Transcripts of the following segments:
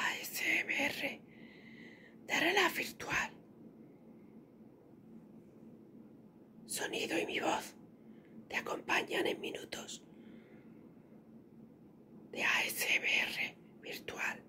ASMR de la virtual. Sonido y mi voz te acompañan en minutos de ASMR virtual.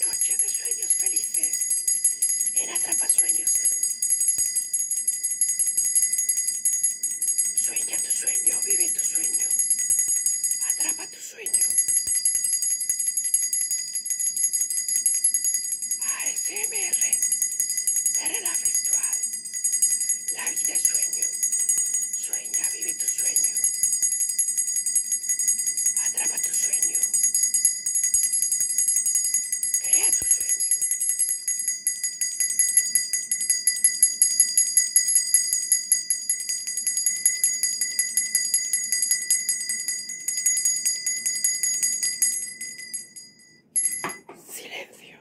Noche de sueños felices en Sueños de Luz. Sueña tu sueño, vive tu sueño, atrapa tu sueño. ASMR de la virtual. La vida es sueño. Sueño vive tu sueño. Atrapa tu sueño. Crea tu sueño. Silencio.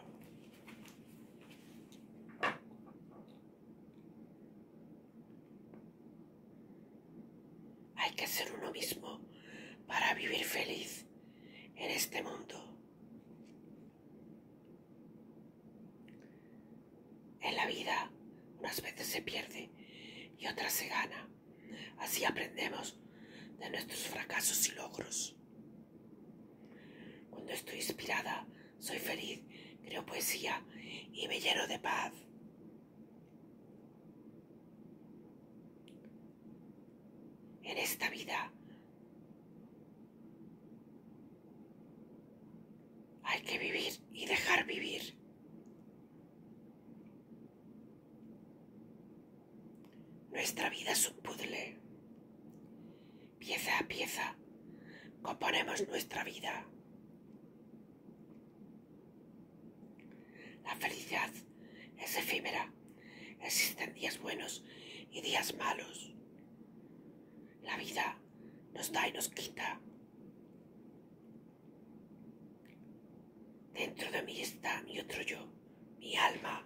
Hay que ser uno mismo para vivir feliz en este mundo. En la vida unas veces se pierde y otras se gana. Así aprendemos de nuestros fracasos y logros. Cuando estoy inspirada, soy feliz, creo poesía y me lleno de paz. En esta vida hay que vivir y dejar vivir. Nuestra vida es un puzzle Pieza a pieza componemos nuestra vida. La felicidad es efímera. Existen días buenos y días malos. La vida nos da y nos quita. Dentro de mí está mi otro yo, mi alma.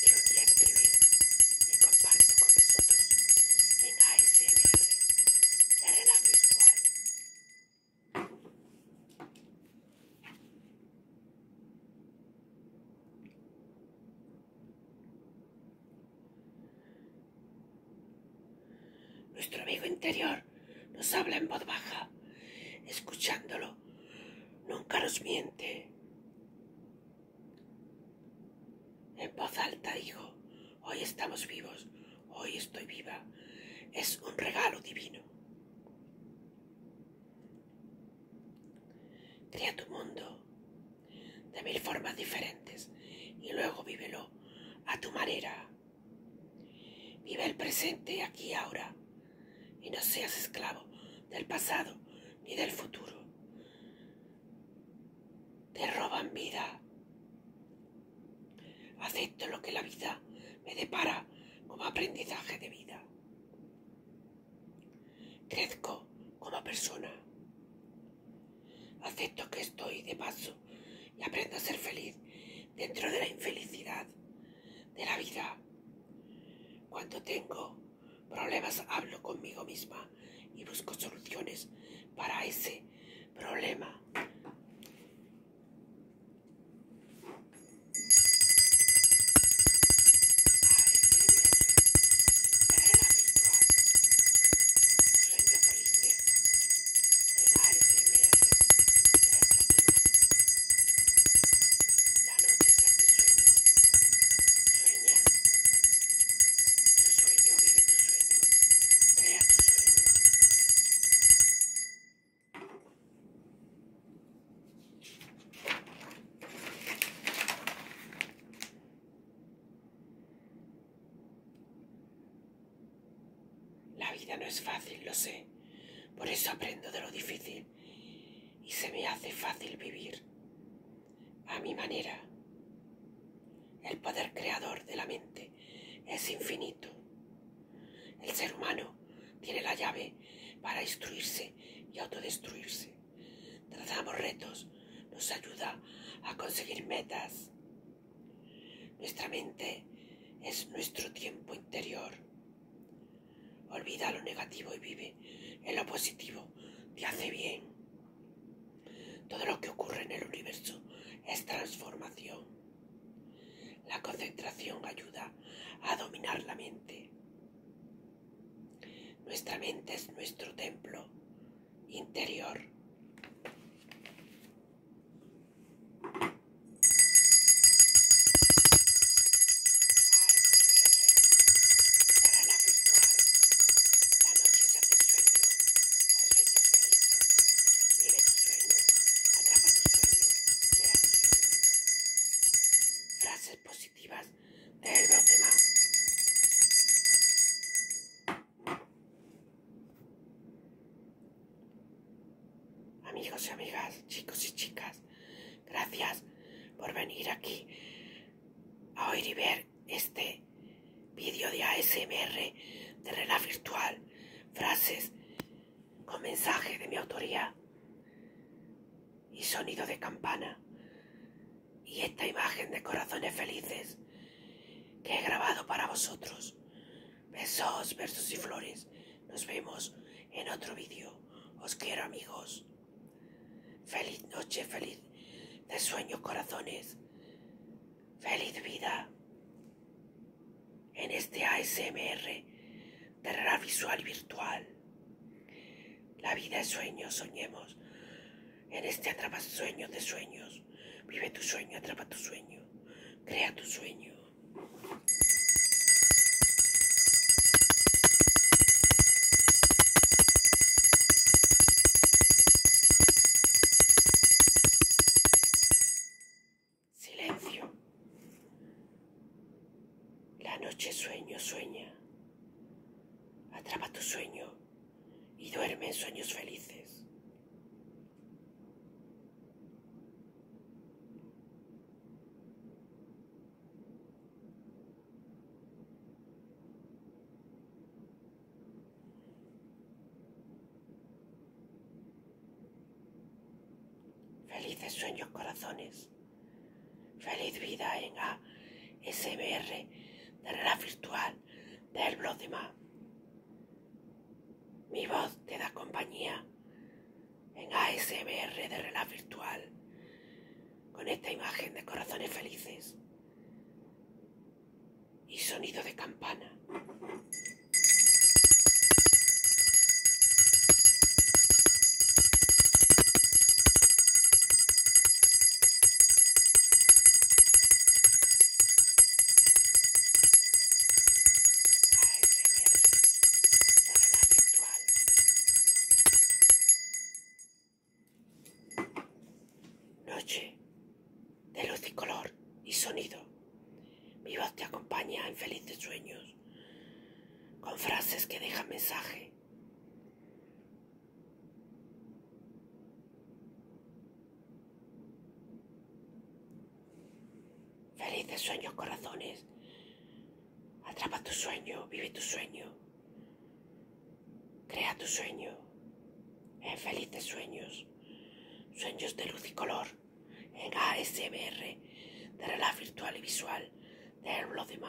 que un día escribí y comparto con nosotros en ASMR, Era virtual. Nuestro amigo interior nos habla en voz baja, escuchándolo. Nunca nos miente. En voz alta dijo, hoy estamos vivos, hoy estoy viva. Es un regalo divino. Crea tu mundo de mil formas diferentes y luego vívelo a tu manera. Vive el presente aquí y ahora y no seas esclavo del pasado ni del futuro. Te roban vida. Acepto lo que la vida me depara como aprendizaje de vida. Crezco como persona. Acepto que estoy de paso y aprendo a ser feliz dentro de la infelicidad de la vida. Cuando tengo problemas hablo conmigo misma y busco soluciones para ese problema. La noche sea tu sueño. Sueña. Tu sueño, vive tu sueño. Crea tu sueño. La vida no es fácil, lo sé. Por eso aprendo de lo difícil y se me hace fácil vivir a mi manera. El poder creador de la mente es infinito. El ser humano tiene la llave para instruirse y autodestruirse. Trazamos retos, nos ayuda a conseguir metas. Nuestra mente es nuestro tiempo interior. Olvida lo negativo y vive en lo positivo. Te hace bien. Todo lo que ocurre en el universo es transformación. La concentración ayuda a dominar la mente. Nuestra mente es nuestro templo interior la noche virtual, la noche se hace sueño, es sueño felices, vive tu sueño, atrapa tu sueño, crea tu sueño. Frases positivas del problema. Amigos y amigas, chicos y chicas, gracias, por venir aquí a oír y ver este vídeo de ASMR de rela Virtual, frases con mensaje de mi autoría y sonido de campana y esta imagen de corazones felices que he grabado para vosotros. Besos, versos y flores. Nos vemos en otro vídeo. Os quiero amigos. Feliz noche, feliz de sueños, corazones. Feliz vida. En este ASMR Terrenal visual virtual. La vida es sueño, soñemos. En este atrapa sueños de sueños. Vive tu sueño, atrapa tu sueño. Crea tu sueño. Silencio. La noche sueño sueña. Atrapa tu sueño y duerme en sueños felices. Felices sueños, corazones. Feliz vida en ASMR de realidad virtual del blog de Mi voz te da compañía en ASMR de Relaj virtual con esta imagen de corazones felices y sonido de campana. Noche de luz y color y sonido. Mi voz te acompaña en felices sueños, con frases que dejan mensaje. Felices sueños, corazones. Atrapa tu sueño, vive tu sueño. Crea tu sueño en felices sueños, sueños de luz y color, en ASMR, de la virtual y visual, del de